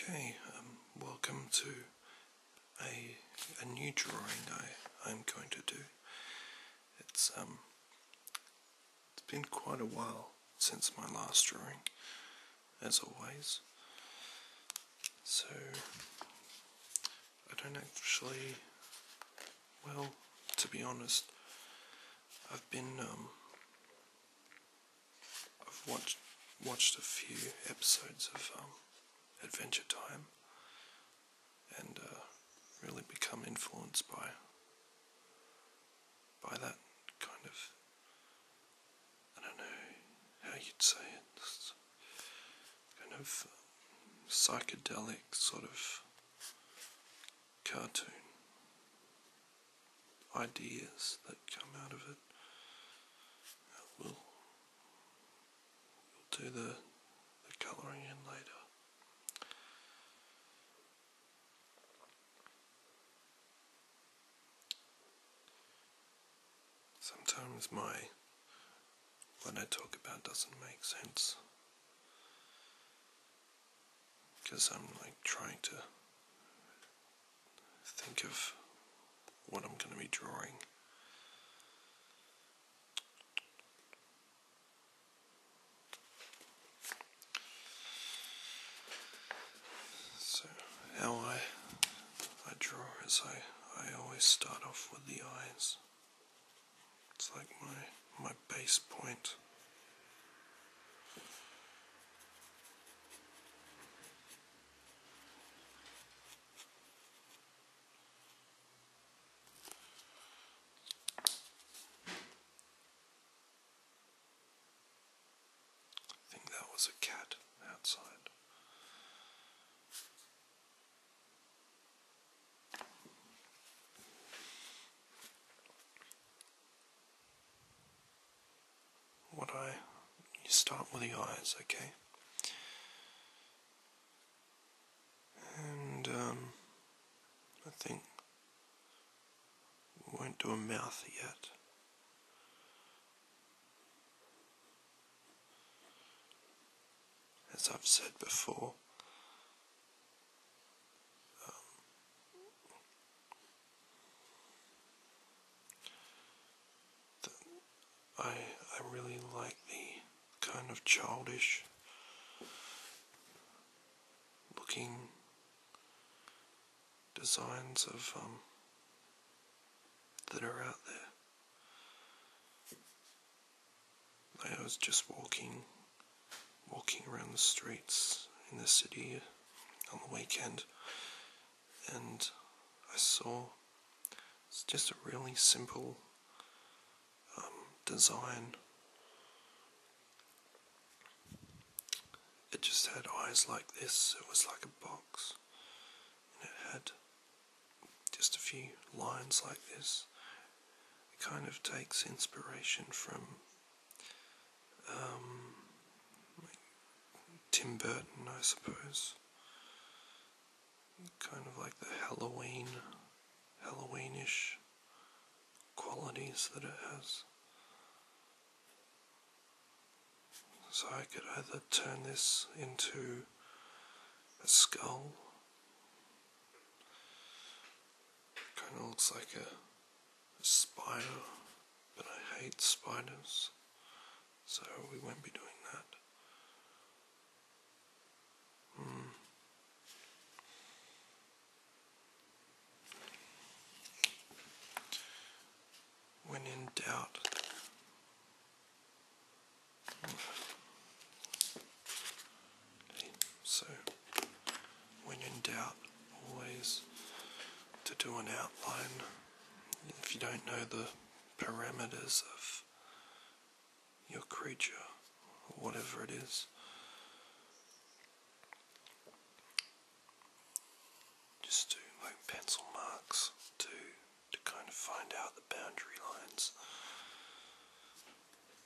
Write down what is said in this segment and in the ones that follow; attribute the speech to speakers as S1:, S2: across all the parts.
S1: Okay, um, welcome to a, a new drawing I, I'm going to do. It's, um, it's been quite a while since my last drawing, as always. So I don't actually. Well, to be honest, I've been. Um, I've watched watched a few episodes of um, Adventure Time, and uh, really become influenced by by that kind of. I don't know how you'd say it. It's kind of um, psychedelic sort of cartoon ideas that come out of it. Uh, we'll, do the colouring in later. Sometimes my what I talk about doesn't make sense. Because I'm like trying to think of what I'm going to be drawing. So, how I, I draw is I, I always start off with the eyes. It's like my my base point. I think that was a cat outside. What eye? You start with the eyes, okay? And, um, I think we won't do a mouth yet as I've said before. Um, I I really like the kind of childish looking designs of um, that are out there. I was just walking, walking around the streets in the city on the weekend, and I saw it's just a really simple um, design. It just had eyes like this, it was like a box, and it had just a few lines like this. It kind of takes inspiration from um, Tim Burton, I suppose. Kind of like the Halloween, Halloweenish qualities that it has. So I could either turn this into a skull Kind of looks like a, spider, but I hate spiders, so we won't be doing that. Hmm. When in doubt, so when in doubt, always to do an outline. If you don't know the parameters of your creature, or whatever it is, just do like pencil marks to to kind of find out the boundary lines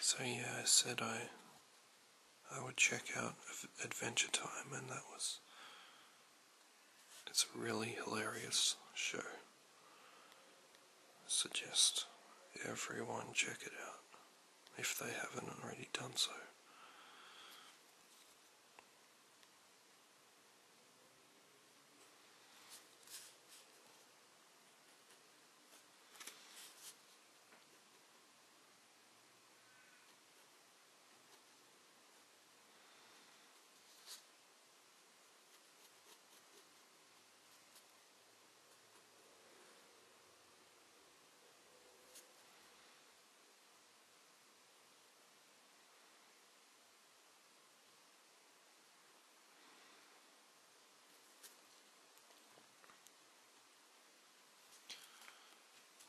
S1: So yeah, I said I I would check out Adventure Time, and that was it's a really hilarious show. Suggest everyone check it out if they haven't already done so.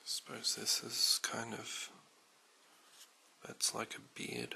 S1: I suppose this is kind of that's like a beard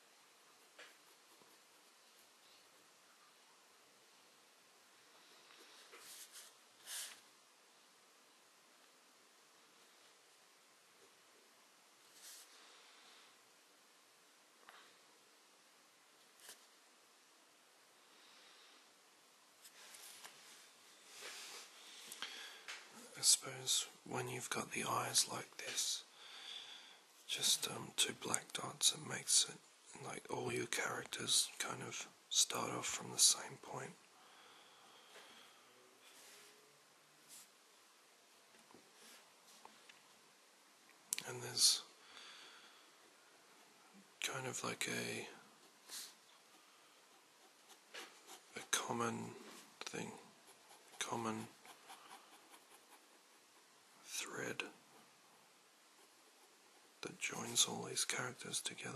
S1: I suppose when you've got the eyes like this, just um, two black dots it makes it like all your characters kind of start off from the same point and there's kind of like a a common thing common thread that joins all these characters together.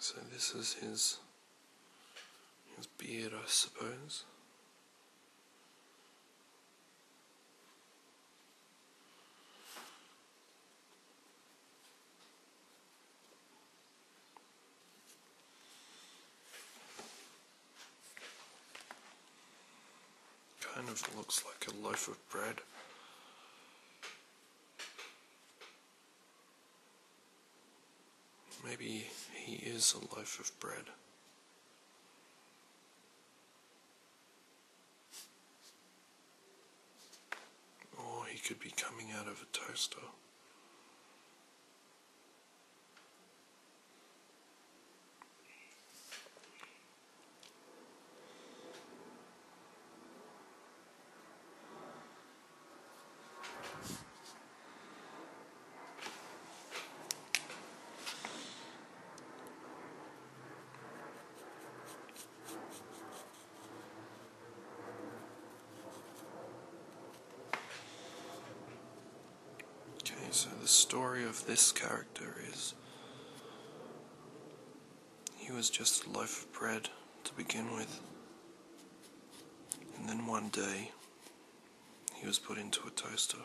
S1: So this is his his beard, I suppose. Kind of looks like a loaf of bread. Maybe he is a loaf of bread. Or he could be coming out of a toaster. Okay, so the story of this character is he was just a loaf of bread to begin with. And then one day, he was put into a toaster.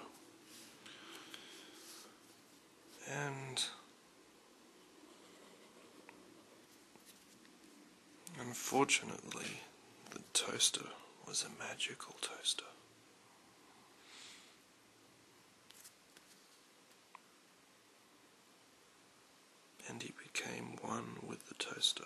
S1: And unfortunately, the toaster was a magical toaster. And he became one with the toaster.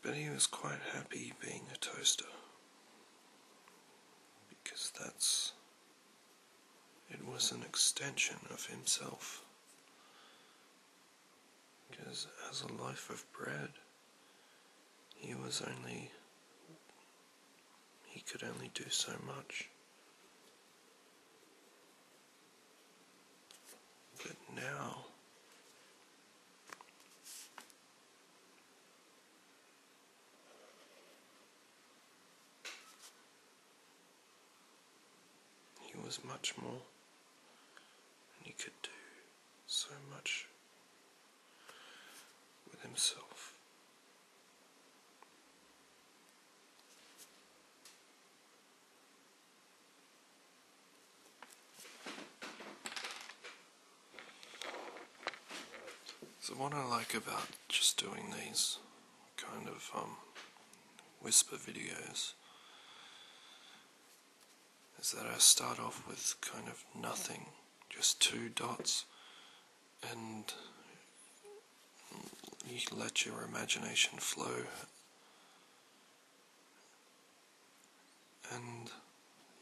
S1: But he was quite happy being a toaster because that's. It was an extension of himself. Because as a loaf of bread, he was only. He could only do so much. But now, he was much more, and he could do so much with himself. So what I like about just doing these kind of um, whisper videos is that I start off with kind of nothing, just two dots, and you let your imagination flow and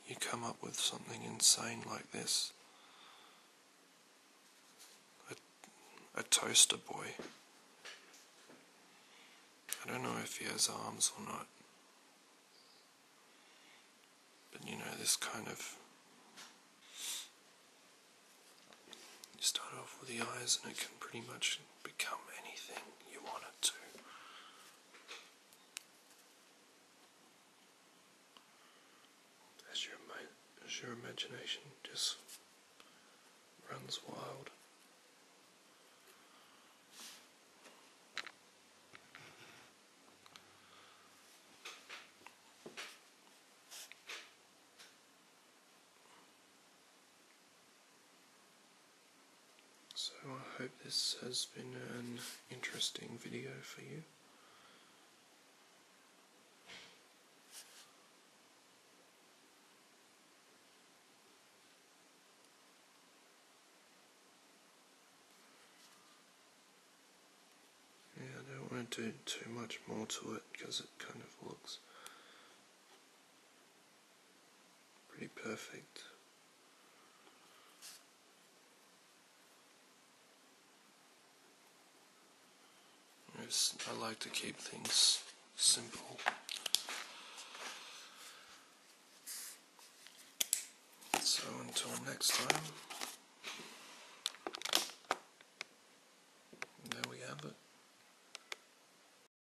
S1: you come up with something insane like this a, toaster boy. I don't know if he has arms or not. But you know, this kind of. You start off with the eyes, and it can pretty much become anything you want it to. As your, as your imagination just runs wild. So I hope this has been an interesting video for you. Yeah, I don't want to do too much more to it because it kind of looks Pretty perfect. I like to keep things simple. So until next time, there we have it.